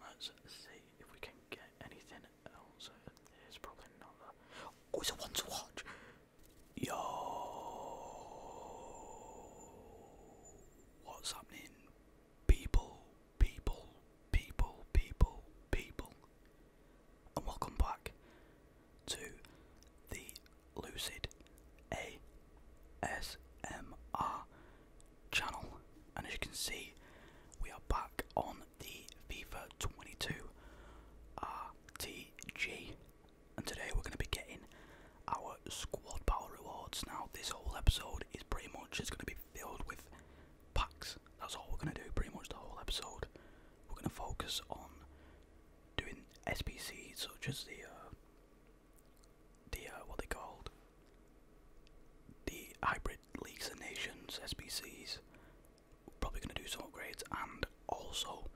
Let's see if we can get anything else. There's probably not a... Oh, it's a one to watch! Yo! What's happening? People, people, people, people, people. And welcome back to the Lucid ASMR channel and as you can see we are back on the FIFA 22 RTG and today we're going to be getting our squad power rewards. Now this whole episode is pretty much just going to be filled with packs. That's all we're going to do pretty much the whole episode. We're going to focus on doing SPCs such as the uh, the uh, what they called the hybrid Leagues and Nations SPCs. We're probably going to do some upgrades, and also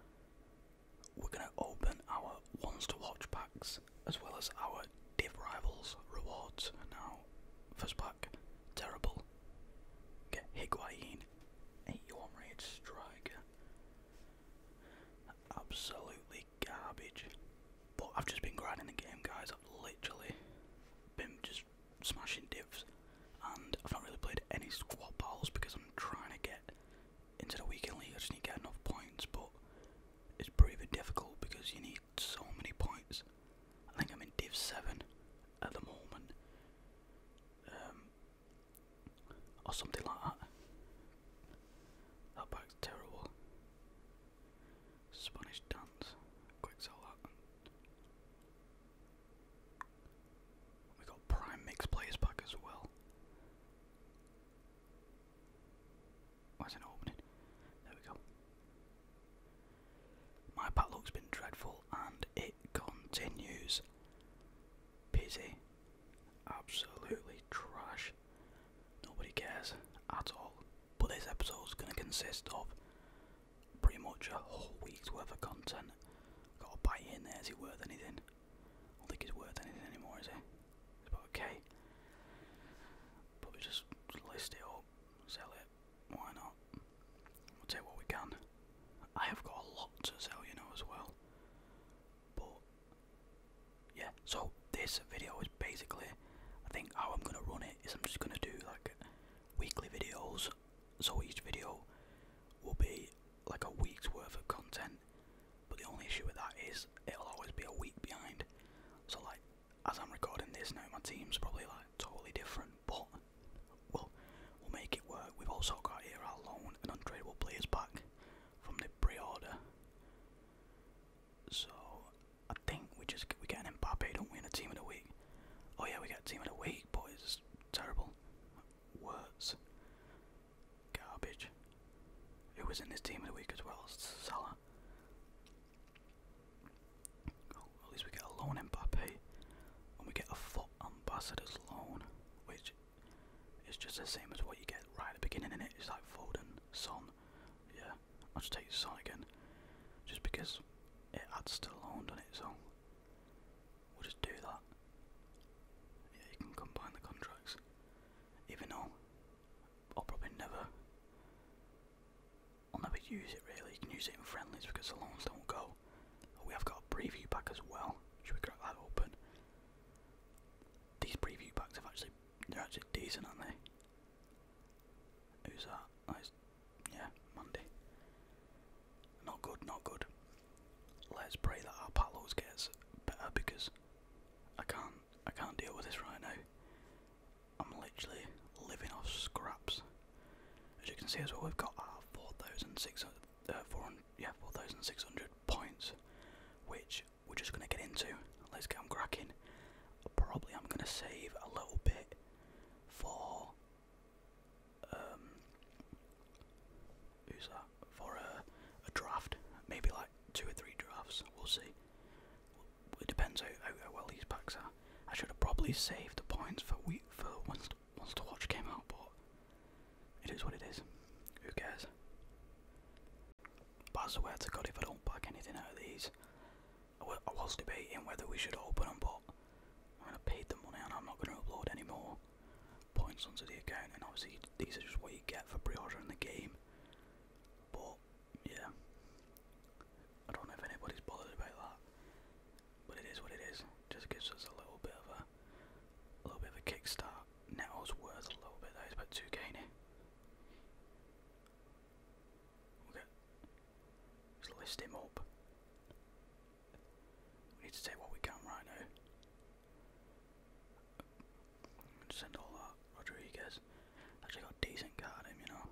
we're going to open our ones to watch packs as well as our Div Rivals rewards. Now, first pack, terrible. Get Higuain, 81 rated striker. Absolutely garbage. But I've just been grinding the game, guys literally been just smashing divs and I've not really played any squad balls because I'm trying to get into the weekly. league. I just need to get enough points, but it's pretty difficult because you need so many points. I think I'm in Div 7 at the moment, um, or something like that. That back's terrible. Spanish dance. Quick sell that. We got Prime Mix Players back as well. Why's it opening? There we go. My pat look's been dreadful and it continues. Pity. Absolutely trash. Nobody cares at all. But this is going to consist of pretty much a whole week's worth of content. Got a bite in there, is it worth anything? I don't think it's worth anything anymore, is it? It's about okay. we just list it up, sell it, why not? We'll take what we can. I have got a lot to sell, you know, as well. But, yeah, so this video is basically, I think, how I'm going to run it it is I'm just gonna do like weekly videos. So each video will be like a week's worth of content. But the only issue with that is it'll always be a week behind. So like as I'm recording this now, my team's probably like totally different, but we'll we'll make it work. We've also got here our loan and untradeable players back from the pre-order. So I think we just we get an Mbappe, don't we, in a team of the week? Oh yeah, we get a team of the week, but it's terrible. Worse. Garbage. Who was in this team of the week as well? Salah. Oh, at least we get a loan Mbappe, and we get a foot ambassador's loan, which is just the same as what you get right at the beginning. In it, it's like Foden, Son. Yeah, I'll just take Son again, just because it had Stallone on it, so we'll just do that. Yeah, you can combine the contracts, even though I'll probably never, I'll never use it really. You can use it in friendlies because the Stallones don't go. We have got a preview pack as well. Should we crack that open? These preview packs have actually, they're actually decent, aren't they? Who's that? yeah, Monday. Not good, not good. Let's pray that our Palos gets better because I can't I can't deal with this right now. I'm literally living off scraps. As you can see as well, we've got our 4,600 uh, yeah, 4, points, which we're just going to get into. Let's get cracking. Probably I'm going to save a little bit for um, who's that? For a draft, maybe like two or three drafts. We'll see. It depends how, how, well these packs are. I should have probably saved the points for week for once the watch came out, but it is what it is. Who cares? But I swear to God, if I don't pack anything out of these, I was debating whether we should open them, but I, mean, I paid the money and I'm not going to upload anymore points onto the account. And obviously, these are just what you get for pre ordering the game. But yeah, I don't know if anybody's bothered about that, but it is what it is. Just gives us a little bit of a, a little bit of a kickstart. Neto's worth a little bit though. It's about two k Okay. Just list him up. We need to take what we can right now. Send all that. Rodriguez. Actually got decent guard him, you know.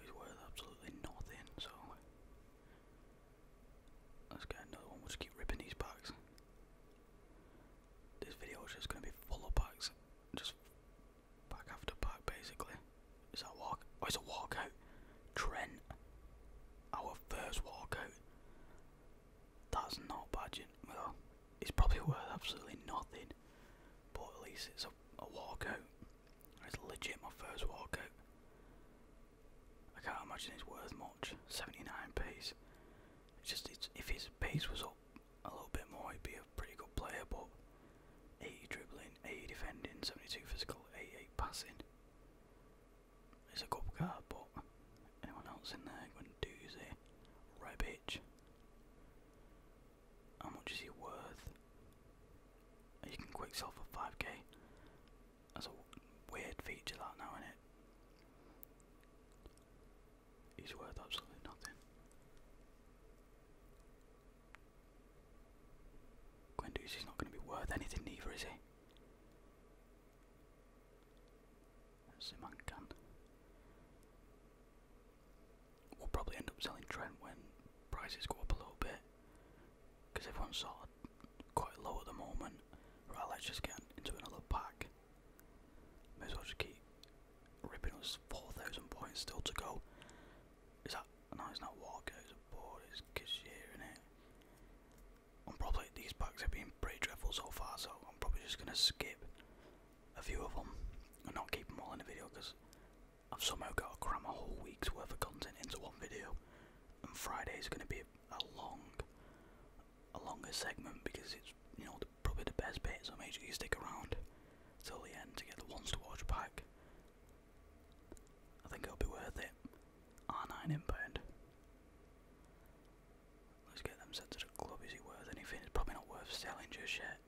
he's worth absolutely nothing, so let's get another one, we'll just keep ripping these packs. This video is just gonna be full of packs. Just Back after back, basically. Is that walk? Oh, it's a walkout. Trent, our first walkout. That's not bad. Well, it's probably worth absolutely nothing, but at least it's a, a walkout. It's legit my first walkout. I can't imagine it's worth much. 79 pace. It's just if his pace was up a little bit more, he'd be a pretty good player, but 80 dribbling, 80 defending, 72 physical, 88 passing. It's a good card, but anyone else in there going to doozy? Rebic. How much is he worth? You can quick sell for 5k. That's a weird feature that now, isn't it? He's worth absolutely nothing. Guendouzi is not going to be worth anything either, is he? Zimankan. We'll probably end up selling Trent when prices go up a little bit, because everyone's sort quite low at the moment. Right, let's just get into another pack. May as well just keep ripping us 4,000 points still to go. Is that, no, it's not Walker, it's a board, it's Cashier, is it? I'm probably, these packs have been pretty dreadful so far, so I'm probably just going to skip a few of them and not keep them all in the video because I've somehow got to cram a whole week's worth of content into one video. And Friday is going to be a long, a longer segment because it's it's you know the, probably the best bit, so make sure you stick around till the end to get the ones to watch back. I think it'll be worth it. R9 inbound. Let's get them sent to the club. Is it worth anything? It's probably not worth selling just yet.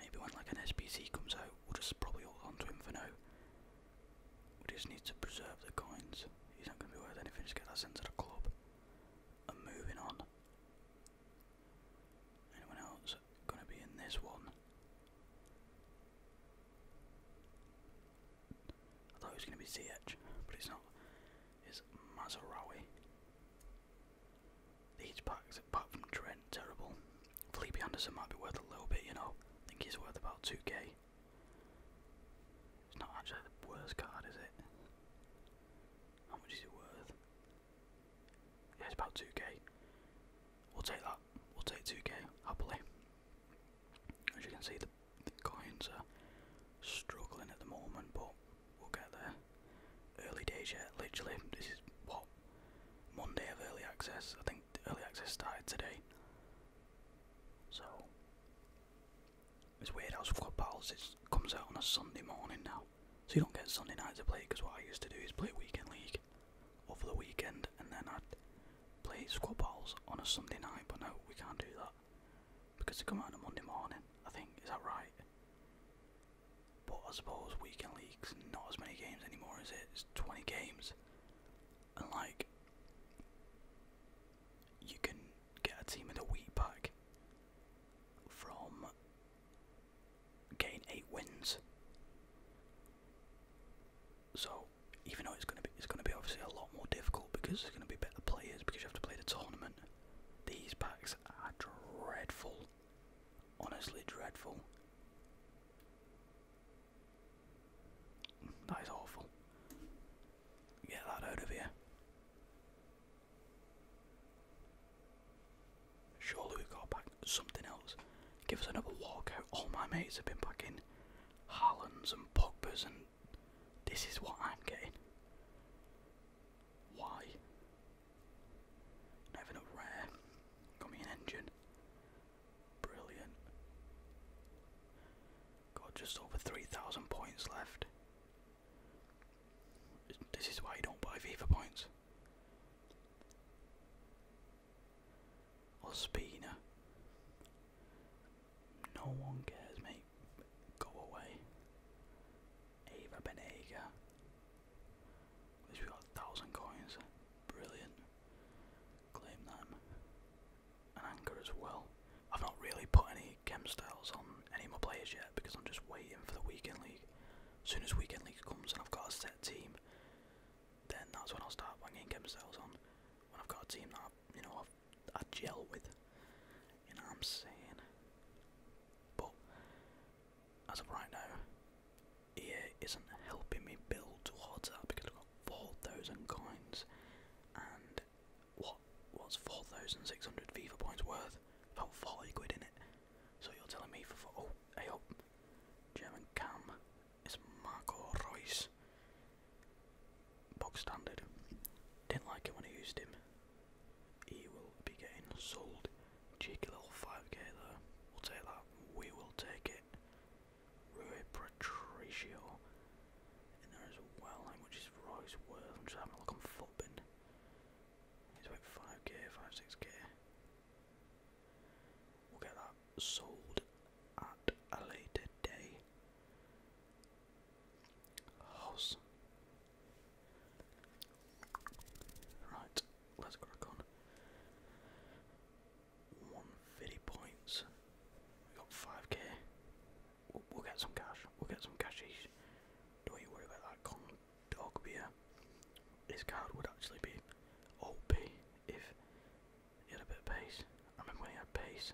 Maybe when like an SPC comes out, we'll just probably hold onto him for now. We just need to preserve the coins. He's not going to be worth anything. Just get that sent to the club. And moving on. Anyone else going to be in this one? I thought it was going to be ZH, but it's not. It's Mazarawi. These packs, apart from Trent, terrible. Felipe Anderson might be worth a little bit, you know. I think he's worth about 2k. It's not actually the worst card, is it? How much is it worth? Yeah, it's about 2k. We'll take that. We'll take 2k happily. As you can see, the, coins are struggling at the moment, but we'll get there. Early days yet, literally. This is what? Monday of early access. I think early access started today. So, it's weird how Squad Battles it comes out on a Sunday morning now. So you don't get Sunday night to play because what I used to do is play weekend league over the weekend and then I'd play squad balls on a Sunday night. But no, we can't do that because they come out on a Monday morning. I think is that right? But I suppose weekend leagues not as many games anymore, is it? It's 20 games, and like you can get a team in the week pack from gain eight wins. So even though it's going to be it's going to be obviously a lot more difficult because there's going to be better players because you have to play the tournament. These packs are dreadful, honestly dreadful. That is awful. Get that out of here. Surely we got to something else. Give us another walkout. All my mates have been packing Harlands and Pogba's, and this is what I'm getting. Why? Not a rare. Got me an engine. Brilliant. Got just over 3,000 points left. This is why you don't buy FIFA points. Ospina. No one cares, mate. Go away. Ava Benega. we got a thousand coins. Brilliant. Claim them. An anchor as well. I've not really put any chem styles on any of players yet because I'm just waiting for the weekend league. As soon as weekend league comes and I've got a set team, then that's when I'll start banging chem myself on. When I've got a team that I, you know I've, I gel with, you know I'm saying. But as of right now, is isn't helping me build towards that because I've got four thousand coins and what was four thousand six hundred FIFA points worth? About forty quid in it. So you're telling me for, oh, I hope oh, German Cam is Marco Royce. Box standard. Didn't like it when I used him. He will be getting sold. Cheeky little 5k though. We'll take that. We will take it. Rui Patricio in there as well. How much is Royce worth? I'm just having a look on Footbin. He's about 5k, 5, 6k. We'll get that sold at a later day. House. Right, let's crack on. 150 points. We got 5k. We'll, get some cash. We'll get some cashies. Don't you worry about that con Dog beer. his card would actually be OP if he had a bit of pace. I remember when he had pace,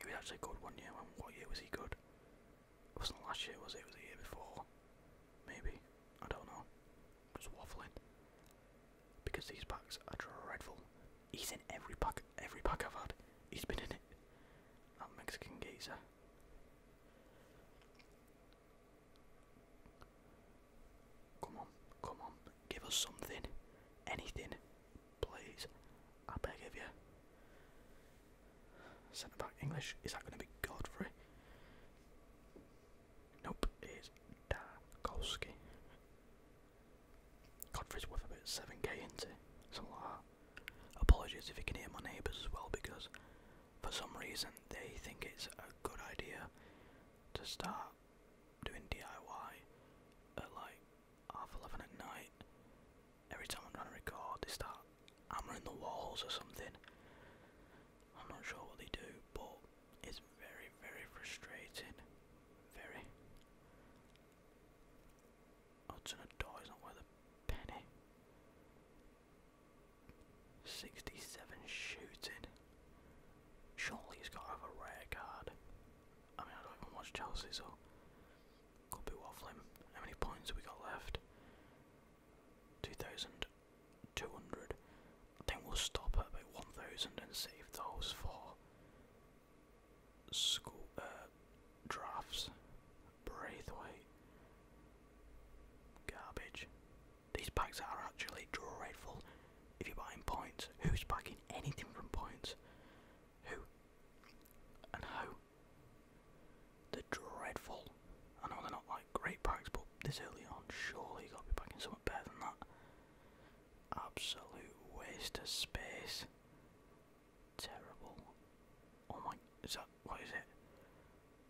he was actually good one year. When, what year was he good? It wasn't last year, was it? It was the year before. Maybe. I don't know. Just waffling. Because these packs are dreadful. He's in every pack, every pack I've had. He's been in it. That Mexican geezer. Come on, come on, give us something, anything, please. I beg of you. Centre back English, is that going to be Godfrey? Nope, it's Darkowski. Godfrey's worth about 7k, into. not Apologies if you can hear my neighbours as well because for some reason they think it's a good idea to start doing DIY at like half eleven at night. Every time I'm trying to record, they start hammering the walls or something. I'm not sure what they do, but it's very, very frustrating. Very. Hudson, a door is not worth a penny. 67 shooting. Surely he's got to have a rare card. I mean, I don't even watch Chelsea, so could be waffling. How many points we got left? 2,200. I we'll stop at about 1,000 and save those for school uh, drafts. Braithwaite. Garbage. These packs are actually dreadful. If you're buying points, who's packing anything from points? Who? And how? They're dreadful. I know they're not like great packs, but this early on, surely you have gotta be packing something better than that. Absolute waste of space. Terrible. Oh my, is that what is it?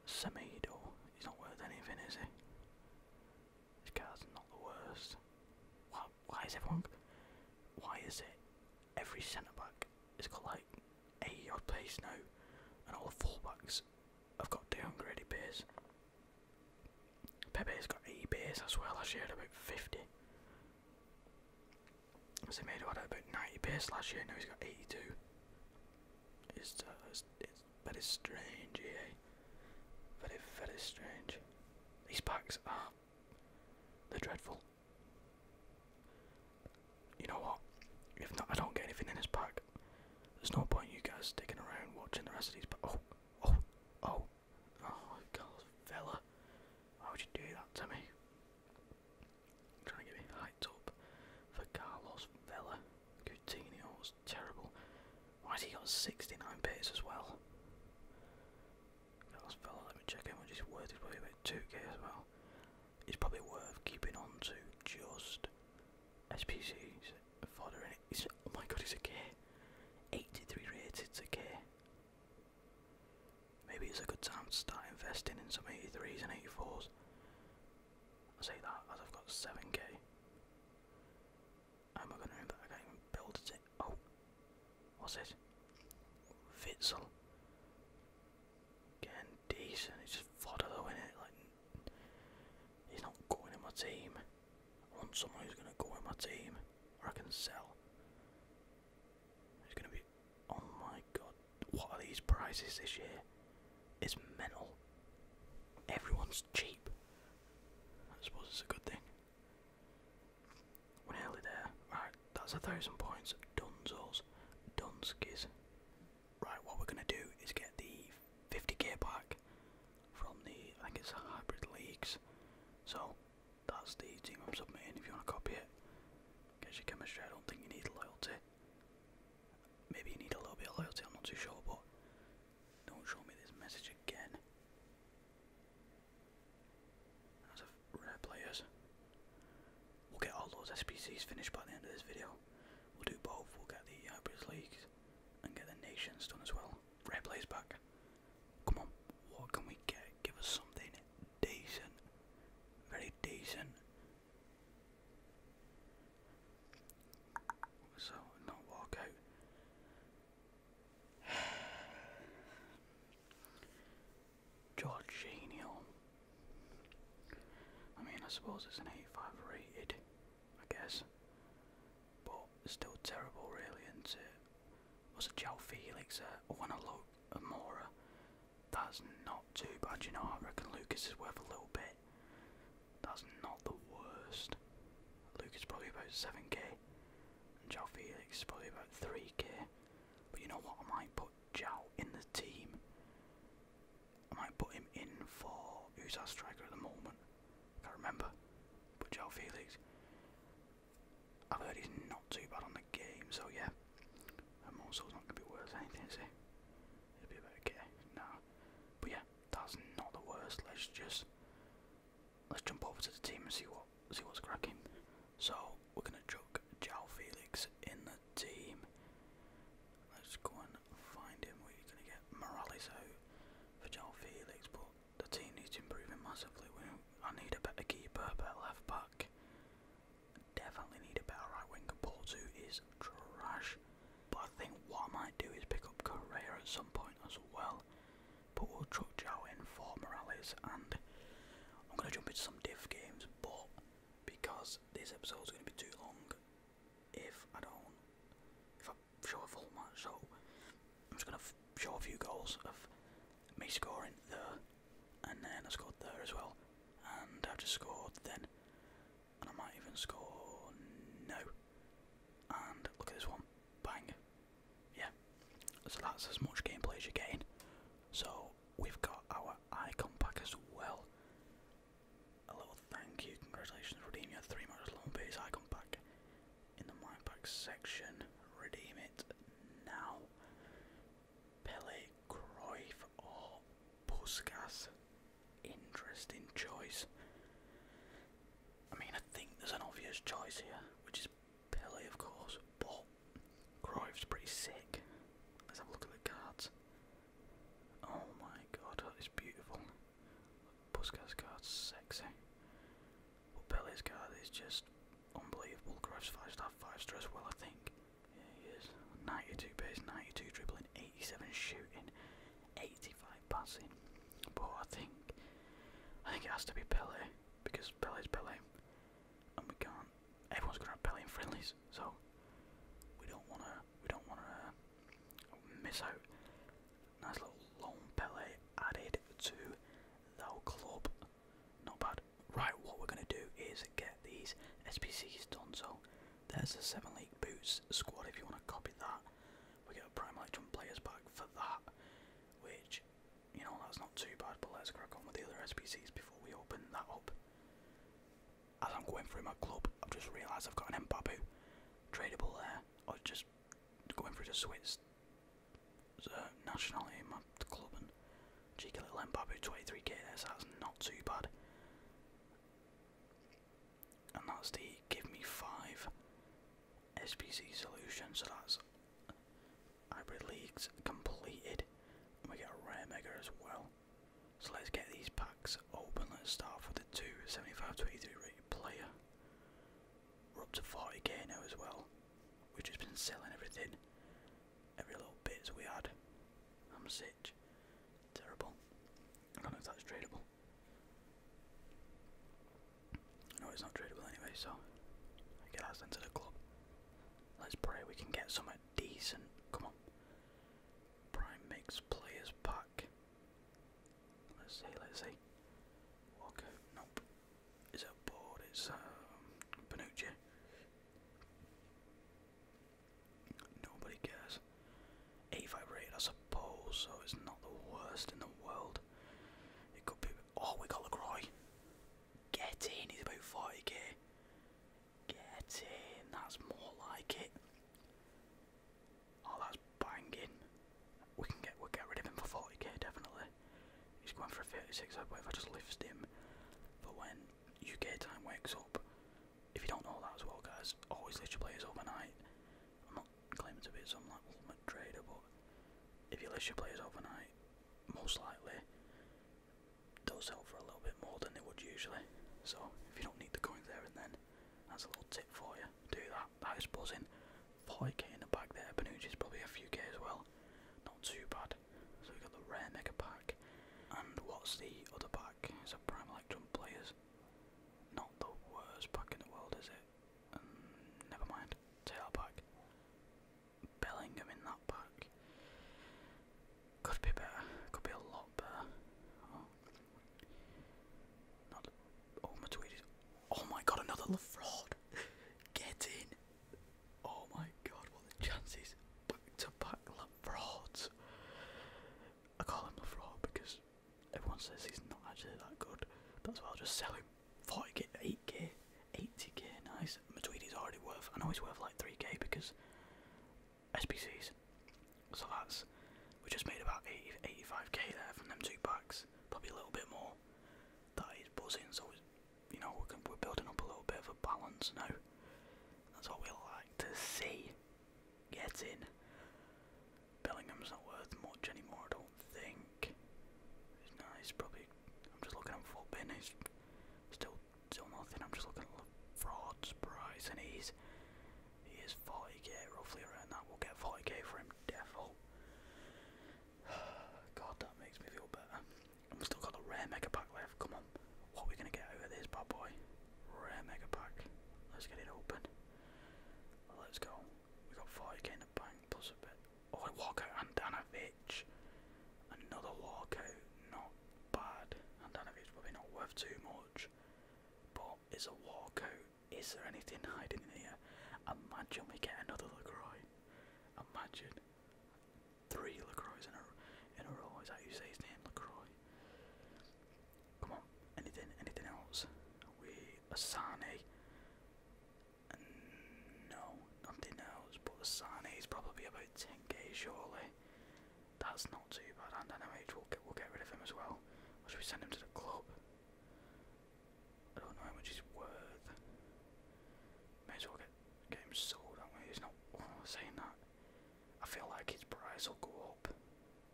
Semedo. He's not worth anything, is he? This guy's not the worst. Why, why is everyone. Why is it every centre back is got like 80 odd pace now, and all the i have got downgraded pace? Pepe's got 80 pace as well, last year had about 50. Semedo had about 90 pace last year, now he's got 82. it's uh, it's very strange, eh? Very, very strange. These packs are. They're dreadful. You know what? If not, I don't get anything in this pack. There's no point you guys sticking around watching the rest of these. Oh, oh, oh, oh, God, fella! Why would you do that to me? Trying to get me picked for Carlos Vela. Coutinho was terrible. Why's he got 69 bits as well? Carlos Vela, let me check how much he's worth. He's probably about 2k as well. It's probably worth keeping on to just SPC's fodder in it. oh my god, he's a K. 83 rated, it's a K. Maybe it's a good time to start investing in some 83s and 84s. I say that as I've got 7k. am I going to know I can't even build it? Oh, what's it? Vitzel. Again, decent. It's just fodder though, innit? Like, he's not going in my team. I want someone who's going to go in my team, or I can sell. It's going to be. Oh my god, what are these prices this year? is metal. Everyone's cheap. I suppose it's a good thing. nearly there. Right, that's a thousand points. Dunzos. Dunskis. Right, what we're gonna do is get the 50 gear pack from the, I think it's Hybrid Leagues. So, that's the team I'm submitting if you want to copy it. Get your chemistry, I don't think you need loyalty. Maybe you need a little bit of loyalty, I'm not too sure, but don't show me this message again. That's a rare players. We'll get all those SPCs finished by the end of this video. We'll do both, we'll get the Hybrids uh, Leagues and get the Nations done as well. Rare players back. Come on, what can we get? Give us something decent. Very decent. So, not walk out. Jorginho. I mean, I suppose it's an 85 rated, I guess. But it's still terrible, really, is it? Was it Joe Felix there? Uh, oh, and I look at Mora. That's not too bad, you know. I reckon Lucas is worth a little bit. That's not the worst. Luke is probably about 7k, and Jao Felix is probably about 3k. But you know what? I might put Jao in the team. I might put him in for who's our striker at the moment. I can't remember. But Jao Felix. I've heard he's not too bad on the game, so yeah. And also, it's not going to be worth anything, is it? It'll be about okay. No. But yeah, that's not the worst. Let's just let's jump over to the team and see what see what's cracking. So we're gonna chuck Jao Felix in the team. Let's go and find him. We're gonna get Morales out for Jao Felix, but the team needs improving massively. We, I need a better keeper, better left back. Definitely need a better right winger. Portu is trash. But I think what I might do is pick up Correa at some point as well. But we'll chuck Zhao in for Morales and I'm going to jump into some diff games. But because this episode's going to be too long, if I don't, if I show a full match, so I'm just going to show a few goals of me scoring there and then I scored there as well. And I've just scored then and I might even score no. And look at this one, bang, yeah. So that's as much gameplay as you're getting. So we've got our icon pack as well. A little thank you, congratulations, redeem your three match long icon pack in the my pack section. Redeem it now. Pele, Cruyff, or Puskas interesting choice. I mean, I think there's an obvious choice here, which is Pele, of course, but Cruyff's pretty sick. Let's have a look at the cards. Oh my god, that is beautiful. Puskas card's sexy. But Pele's card is just unbelievable. Cruyff's 5 star, 5 star as well, I think. Yeah, he is. 92 pace, 92 dribbling, 87 shooting, 85 passing. But I think I think it has to be Pele because Pele is Pele, and we can't. Everyone's gonna have Pele in friendlies, so we don't wanna we don't wanna uh, miss out. Nice little long Pele added to the club. Not bad. Right, what we're gonna do is get these SPCs done. So there's a 7 League Boots squad if you want to copy that. We get a Prime electron Players Pack for that, which, you know, that's not too bad, but let's crack on with the other SPCs before we open that up. As I'm going through my club, I've just realised I've got an Mbabu tradable there, i or just going through the Swiss national uh, nationality in my club and cheeky little Mbabu 23k there, so that's not too bad and that's the give me five SPC solution. So that's hybrid leagues completed, and we get a rare mega as well. So let's get these packs open. Let's start with the two 75 to 83 player. We're up to 40k now as well. We've just been selling everything, every little bit as we had. I'm sick. Terrible. I don't know if that's tradable. No, it's not tradable anyway, so get us into the club. Let's pray we can get some decent. Come on. Prime makes players pack. Let's see, let's see. Walker, nope. Is it a board? It's um, Nobody cares. 85 rate, I suppose, so it's not the worst in the world. It could be. Oh, we got a LaCroix. Get in, he's about 40k. Get in, that's more like it. Oh, that's banging. We can get we'll get rid of him for 40k definitely. He's going for a 36. I bet I just lift him, but when UK time wakes up, if you don't know that as well, guys, always list your players overnight. I'm not claiming to be some like ultimate trader, but if you list your players overnight, most likely does help for a little bit more than it would usually. So if you don't need the coins there and then, that's a little tip for you. Do that. That is buzzing. 40k in the back there. Benucci's probably a few k as well. Not too bad. So we got the rare mega pack. And what's the other pack? It's a prime electrum players. Not the worst pack in the world, is it? Um, never mind. Take that Bellingham in that pack. Could be better. Could be a lot better. Oh. Not. Oh, my tweet Oh my god, another LaFraud! Get in! Oh my god, what the chances! Back to back LaFrauds! I call him LaFraud because Everyone says he's not actually that good. That's why I'll just sell him. 40k, 8k, 80k, nice. Matuidi's already worth, I know he's worth like 3k because SPCs. So that's, we just made about 80, 85k there from them two packs, probably a little bit more. That is buzzing, so you know, we're, building up a little bit of a balance now. That's what we like to see. getting. in. Bellingham's not worth much anymore, I don't think. he's probably. I'm just looking at full bin. He's still still nothing. I'm just looking at frauds price, and he's he is 40k roughly around that. We'll get 40k for him, devil. God, that makes me feel better. i we've still got the rare mega pack left. Come on, what are we gonna get out of this bad boy? Rare mega pack. Let's get it open. Let's go. We got 40k in the bank plus a bit. Oh, a walkout Andanovic. Another walkout. Not bad. Andanovic's probably not worth too much. But is a walkout. Is there anything hiding in here? Imagine we get another LaCroix. Imagine. Three LaCroix in a, in a row. Is that you say his name? LaCroix. Come on, anything, anything else? We Asane. No, nothing else. But Asane is probably about 10k surely. That's not too bad. And NMH will get, we'll get rid of him as well. Or should we send him to the club? I don't know how much he's worth. May as well get, get him sold, don't not oh, saying that. I feel like his price will go up.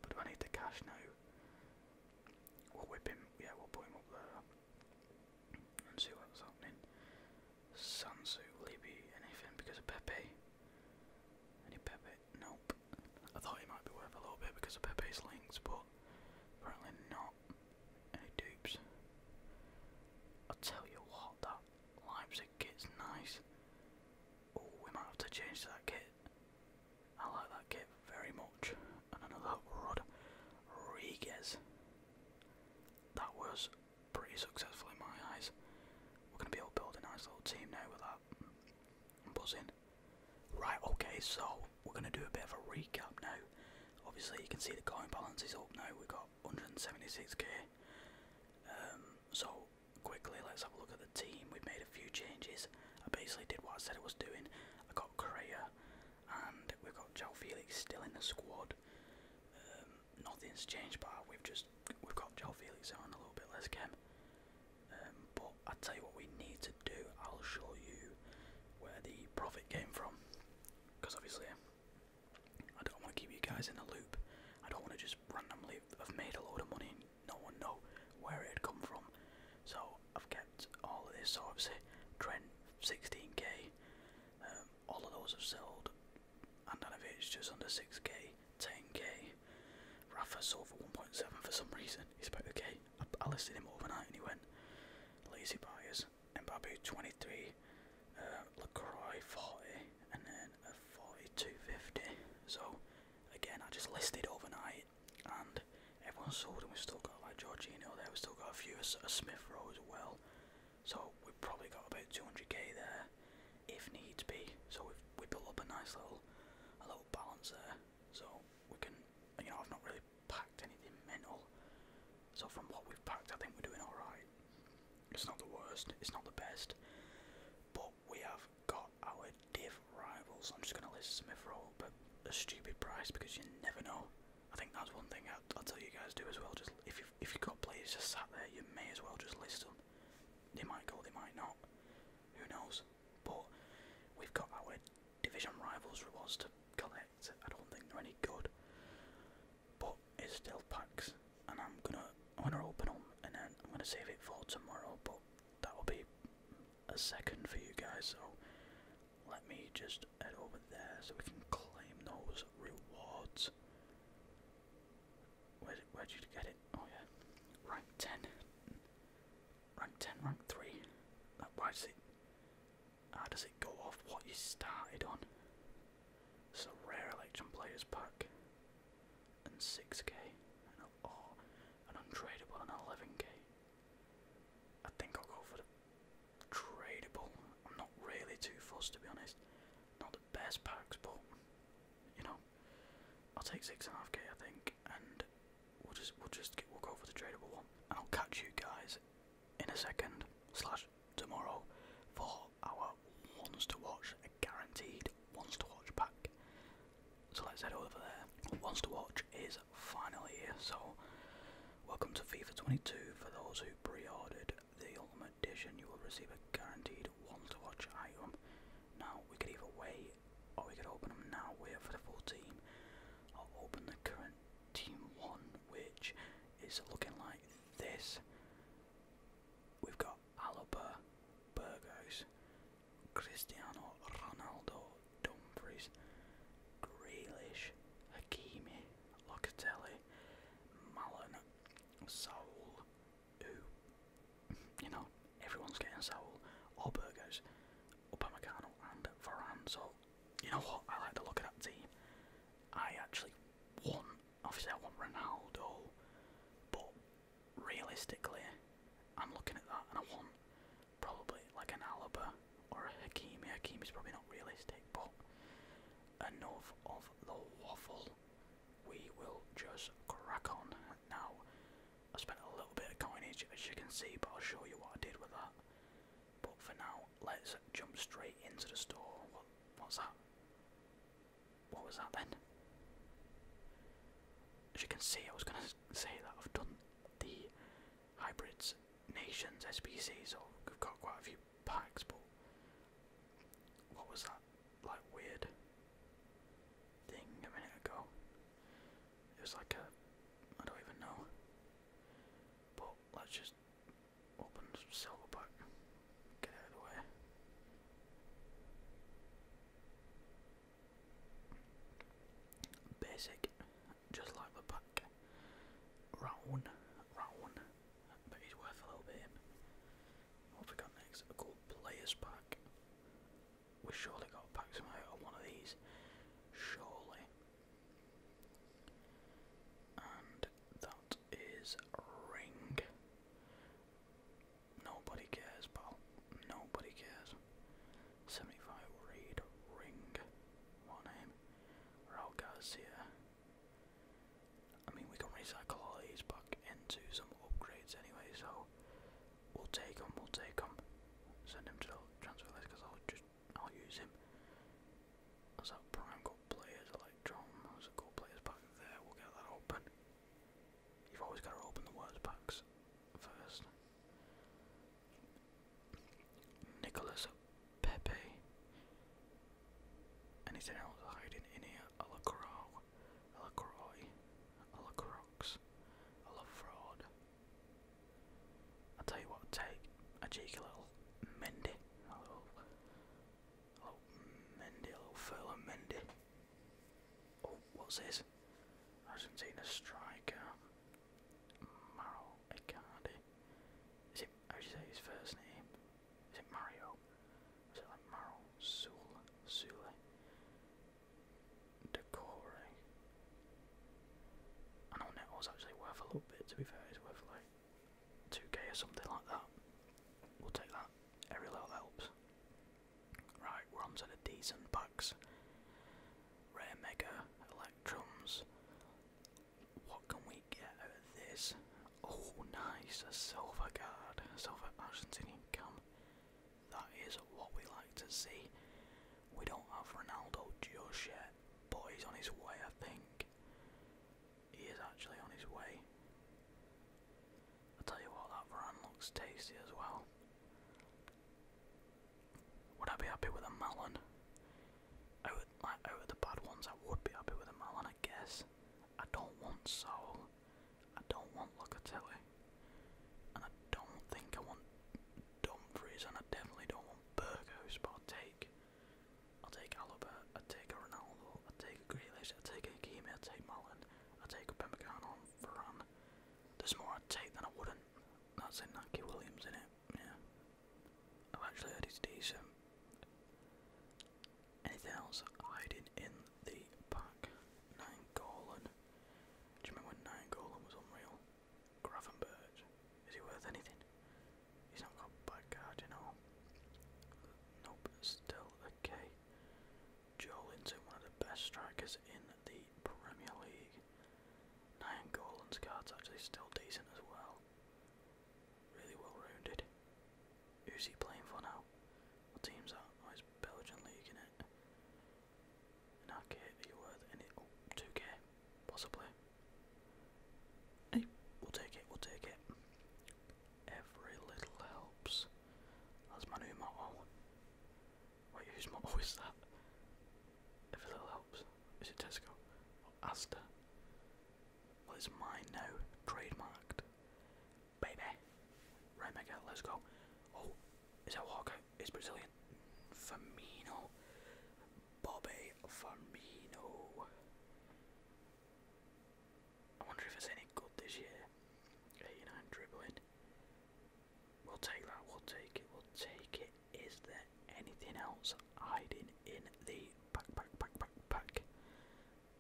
But do I need the cash now? We'll whip him. Yeah, we'll put him up there and see what's happening. Sansu, Libby, anything because of Pepe? Any Pepe? Nope. I thought he might be worth a little bit because of Pepe's links, but apparently not. Any dupes? i tell you what, that Leipzig kit's nice. Oh, we might have to change that kit. I like that kit very much. And another Rodriguez. That was pretty successful in my eyes. We're going to be able to build a nice little team now with that. I'm buzzing. Right, okay, so we're going to do a bit of a recap now. Obviously, you can see the coin balance is up now. We've got 176k. Um, so quickly, let's have a look at the team. We've made a few changes. I basically did what I said I was doing. I got Correa, and we've got Joe Felix still in the squad. Um, nothing's changed, but we've just we've got Joe Felix on a little bit less chem. Um, but I tell you what, we need to do. I'll show you where the profit came from, because obviously I don't want to keep you guys in a loop. I don't want to just randomly i have made a lot of money no one know where it come from. So I've kept all of this. So obviously, Trent 16k, um, all of those have sold. and of it's just under 6k, 10k. Rafa sold for 1.7 for some reason. He's about the k. I, I listed him overnight and he went lazy buyers. Mbappe 23, uh, Lacroix 40, and then a 42.50. So again, I just listed overnight and everyone's sold, and we've still got like Jorginho there, we've still got a few, a, a Smith Rowe as well. So we've probably got about 200k there, if needs be. So we've we built up a nice little, a little balance there. So we can, you know, I've not really packed anything mental. So from what we've packed, I think we're doing all right. It's not the worst, it's not the best, but we have got our div rivals. I'm just going to list Smith Roll, but a stupid price because you never know. I think that's one thing I'll, i tell you guys do as well. Just if you've, if you got players just sat there, you may as well just list them. They might go, they might not. Who knows? But we've got our division rivals rewards to collect. I don't think they're any good, but it's still packs. And I'm gonna, I'm gonna open them, and then I'm gonna save it for tomorrow. But that will be a second for you guys, so let me just head over there so we can claim those rewards. Where did, where did you get it? Oh yeah, rank 10. Rank 10, rank 3. Like, why does it, how does it go off what you started on? It's a rare election players pack and 6k, and a, or oh, an untradeable and 11k. I think I'll go for the tradable. I'm not really too fussed to be honest. Not the best packs, but you know, I'll take six and a half k I think, and we'll just we'll just we'll go for the tradable one. And I'll catch you guys in a second slash tomorrow for our ones to watch, a guaranteed ones to watch pack. So let's head over there. Wants to watch is finally here. So welcome to FIFA 22. For those who pre-ordered the Ultimate Edition, you will receive a guaranteed wants to watch item. Now we could either wait, or we could open them now. Wait for the full team, I'll open the current team one, which is looking like this. We've got Alaba, Burgos, Cristiano Ronaldo, Dumfries, Grealish, Hakimi, Locatelli, Malin, Saul, who, you know, everyone's getting Saul, or Burgers, Upamecano, and Varane. you know what? I like to look at that team. I actually want, obviously, I want Ronaldo, but realistically, I'm looking at that and I want probably like an Alaba or a Hakimi. is probably not realistic, but enough of the waffle. We will just crack on. Now, I spent a little bit of coinage as you can see, but I'll show you what I did with that. But for now, let's jump straight into the store. What, what's that? What was that then? As you can see, I was going to say that I've done the hybrids, nations, SPCs, or we've got quite a few packs, but what was that like weird thing a minute ago? It was like a I don't even know. But let's just open silver pack. Get out of the way. Basic, just like the pack. Round, round, but he's worth a little bit. What have we got next? A cool players pack. We surely got a pack somehow out one of these. Surely. And that is ring. Nobody cares, pal. Nobody cares. 75 Reed Ring. What name? Raul Garcia. I mean, we can recycle these back into some upgrades anyway, so we'll take him, we'll take him. Send him to the transfer list because I'll just, I'll use him. As our prime goal players, like John, those are goal players back there, we'll get that open. You've always got to open the words box first. Nicholas Pepe. Anything else hiding in here? A la Croix, a I'll tell you what, take a cheeky little Mendy, a little, little Mendy, a little furlong Mendy. Oh, what's this? Argentina striker. Maro Icardi. Is it, how do you say his first name? Is it Mario? Is it like Maro? Sule? Sule? Decore. I know Neto's actually worth a little bit, to be fair. It's worth like 2k or something like that. We'll take that. Every little helps. Right, runs at a decent packs. Rare Mega, Electrums. What can we get out this? Oh, nice, a silver guard, A silver Argentinian cam. That is what we like to see. We don't have Ronaldo just yet, but he's on his way, I think. He is actually on his way. I'll tell you what, that run looks tasty as well. Would I be happy with a melon? Out like, out of the bad ones, I would be happy with a melon, I guess. I don't want Saul. I don't want Locatelli. And I don't think I want Dumfries, and I definitely don't want Burgos, but i take. i take Alaba, i take Ronaldo, i take a Grealish, i take a Hakimi, i take Mullen, i take a Pemicano and Varane. There's more i take than I wouldn't that's a Naki Williams in it, yeah. I've actually heard it's decent. Anything else hiding in the pack? Nine Golan. Do you remember when Nine Golan was unreal? Gravenberg. Is he worth anything? He's not got bad card, you know. Nope, still okay. Joelinton, one of the best strikers in the Premier League. Nine Golan's card's actually still decent as well. Really well rounded. Who's he playing for now? What team's that? Oh, it's Belgian League, in it? In our case, are you worth any? Oh, 2k, possibly. Hey, we'll take it, we'll take it. Every little helps. That's my new motto. Wait, who's more? is that? If a little helps. Is it Tesco? Or Well, it's mine now. Trademarked. Baby. Right, Mega, let's go. Oh, is that Walker? It's Brazilian. Firmino. Bobby Firmino. I wonder if it's any good this year. 89 dribbling. We'll take that, we'll take it, we'll take it. Is there anything else hiding in the pack, pack, pack, pack, pack?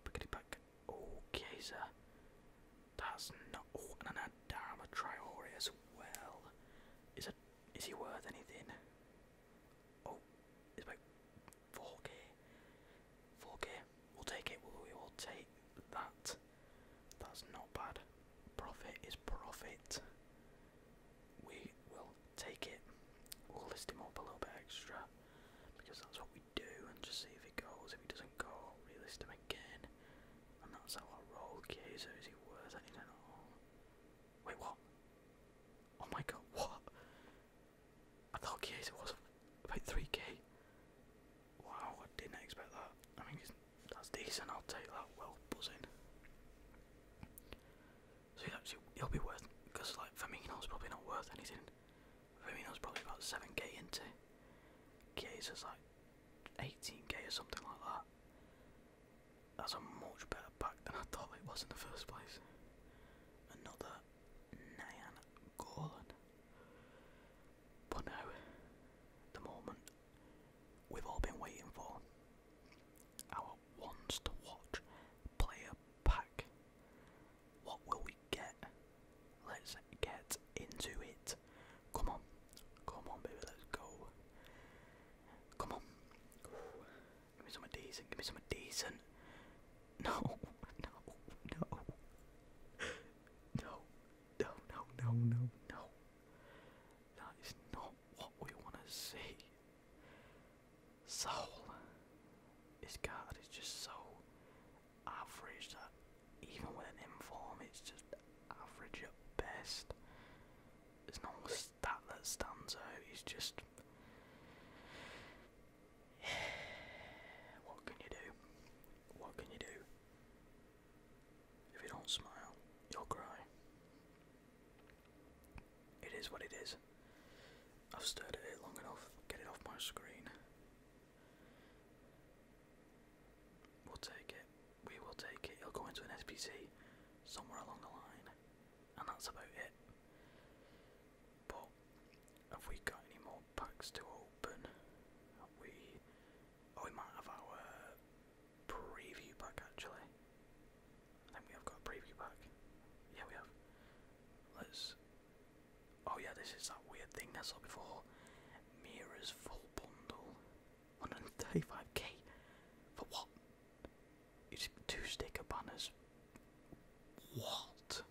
Packety pack. Okay, sir. That's not. Oh, and an Adama Triori as well. Is it? Is he worth anything? Oh, it's about 4k. 4k. We'll take it. We'll, we will take that. That's not bad. Profit is profit. We will take it. We'll list him up a little bit extra because that's what we do and just see if it goes. If it doesn't go, list him again. And that's how I roll. Okay, is he worth Wait, what? Oh my god, what? I thought Kiesa was about 3k. Wow, I didn't expect that. I mean, that's decent, I'll take that, well buzzing. So he's actually, he'll be worth, because like Firmino's probably not worth anything. Firmino's probably about 7k, into. not like 18k or something like that. That's a much better pack than I thought it was in the first place. Another Nyan Gorlan. But no, the moment we've all been waiting for. Our wants to watch player pack. What will we get? Let's get into it. Come on, come on, baby, let's go. Come on. Give me something decent, give me something decent. no, no. No, no, no, no, no, no. That is not what we want to see. Soul. His card is just so average that even with an inform, it's just average at best. There's no stat that stands out. He's just. what can you do? What can you do? If you don't smile, you'll cry. It is what it is. I've stared at it long enough. Get it off my screen. We'll take it. We will take it. It'll go into an SPC somewhere along the line. And that's about it. But have we got any more packs to open? Have we oh we might have our preview pack actually. I think we have got preview pack. Yeah, we have. Let's. Oh, yeah, this is that weird thing I saw before. Mira's full bundle. 135k? For what? It's two sticker banners. What?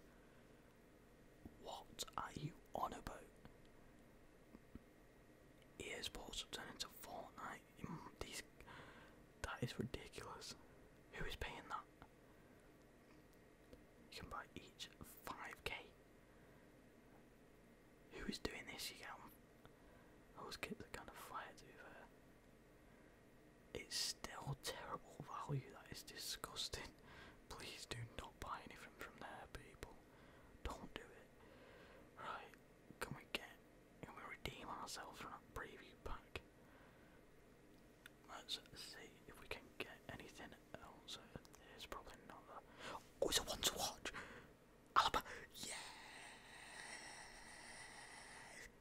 What are you on about? esports have turned into Fortnite. Mm, these, that is ridiculous. Who is paying that? You can buy each 5k. Who is doing this? You get Those kids are kind to be fair. It's still terrible value. That is disgusting. Please do not buy anything from there, people. Don't do it. Right can we get can we redeem ourselves from that preview pack? Let's see if we can get anything else. There's probably not that. Oh, it's a one to watch. Alaba, yeah,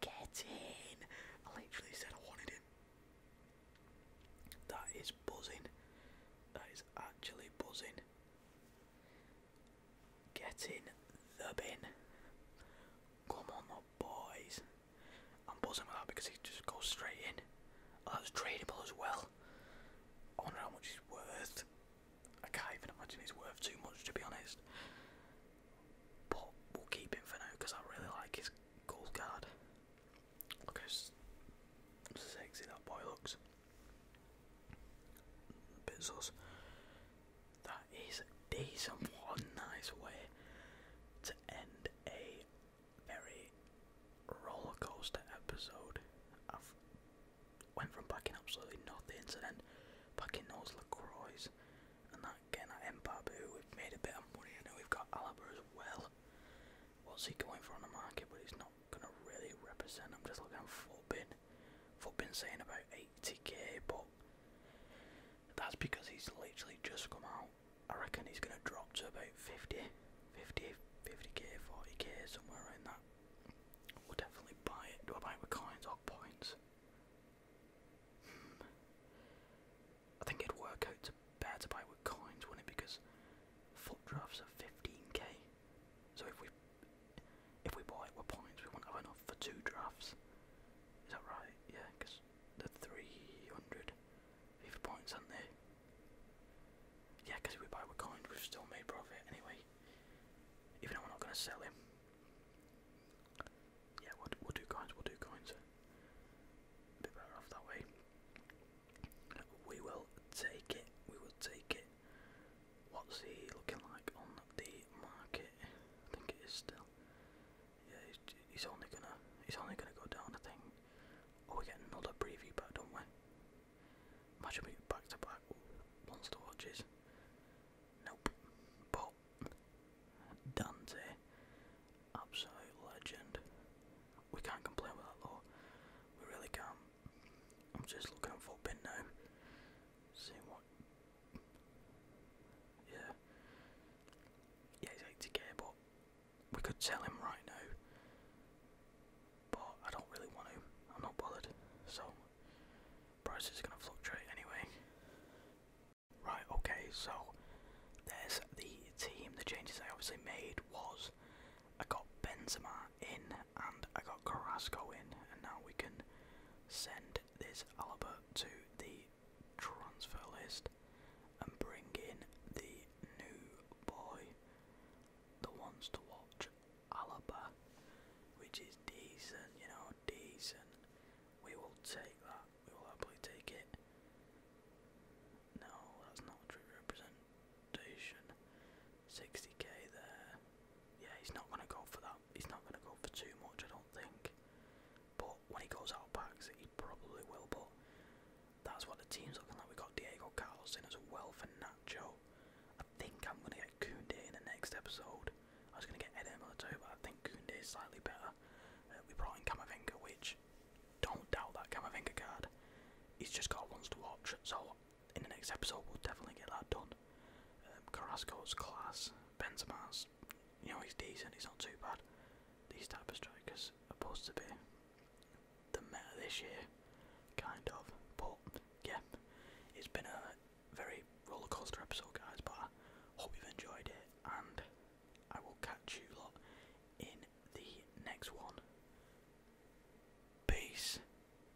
get in. I literally said I wanted him. That is buzzing. That is actually buzzing. Get in the bin. Come on, the boys. I'm buzzing with that because he just goes straight in. Oh, that's tradable as well. I wonder how much he's worth. I can't even imagine he's worth too much, to be honest. But we'll keep him for now because I really like his gold guard. Look how sexy that boy looks. Bezos. That is decent. One nice way to end a very roller coaster episode. I've went from backing absolutely nothing to then backing those LaCroix and that again at Mbabu. We've made a bit of money. I know we've got Alaba as well. What's he going for on the market? But he's not gonna really represent. I'm just looking at Fulby. Foot been saying about 80k, but that's because he's literally just come out. I reckon he's going to drop to about 50, 50, 50k, 40k, somewhere around that. We'll definitely buy it. Do I buy with coins or points? Hmm. I think it'd work out to better buy with coins, wouldn't it? Because foot drafts are 15k. So if we if we buy with points, we won't have enough for two drafts. Is that right? Yeah, because the 300 FIFA points, aren't they? Yeah, because if we buy with coins, we've still made profit anyway. Even though we're not going to sell him. Yeah, we'll, we'll do coins, we'll do coins. bit better off that way. We will take it, we will take it. What's he looking like on the market? I think it is still. Yeah, he's, only gonna he's only gonna go down. I think. Oh, we get another preview back, don't we? Imagine we get back to back once watches. Nope. But Dante, absolute legend. We can't complain with that though. We really can I'm just looking at Fulpin now. See what. Yeah. Yeah, he's 80k, but we could tell him right now. But I don't really want to. I'm not bothered. So, prices are going to fluctuate anyway. Right, okay, so there's the team. The changes I obviously made was I got Benzema in, and I got Carrasco in, and now we can send this Alaba to the transfer list and bring in the new boy that wants to watch Alaba, which is decent, you know, decent. We will take that, we will happily take it. No, that's not true representation. 60k there. Yeah, he's not going to go for that. He's not going to go for too much, I don't think. But when he goes out of packs, he probably will. But that's what the team's looking like. We've got Diego Carlos in as well for Nacho. I think I'm going to get Koundé in the next episode. I was going to get Eden too, but I think Koundé is slightly better. Uh, we brought in Kamavinga, which, don't doubt that Kamavinga card. He's just got ones to watch, so in the next episode, we'll definitely get that done. Um, Carrasco's class, Benzema's, you know, he's decent, he's not too bad. These type of strikers are supposed to be the meta this year, kind of. But yeah, it's been a very rollercoaster episode, guys. But I hope you've enjoyed it, and I will catch you lot in the next one. Peace.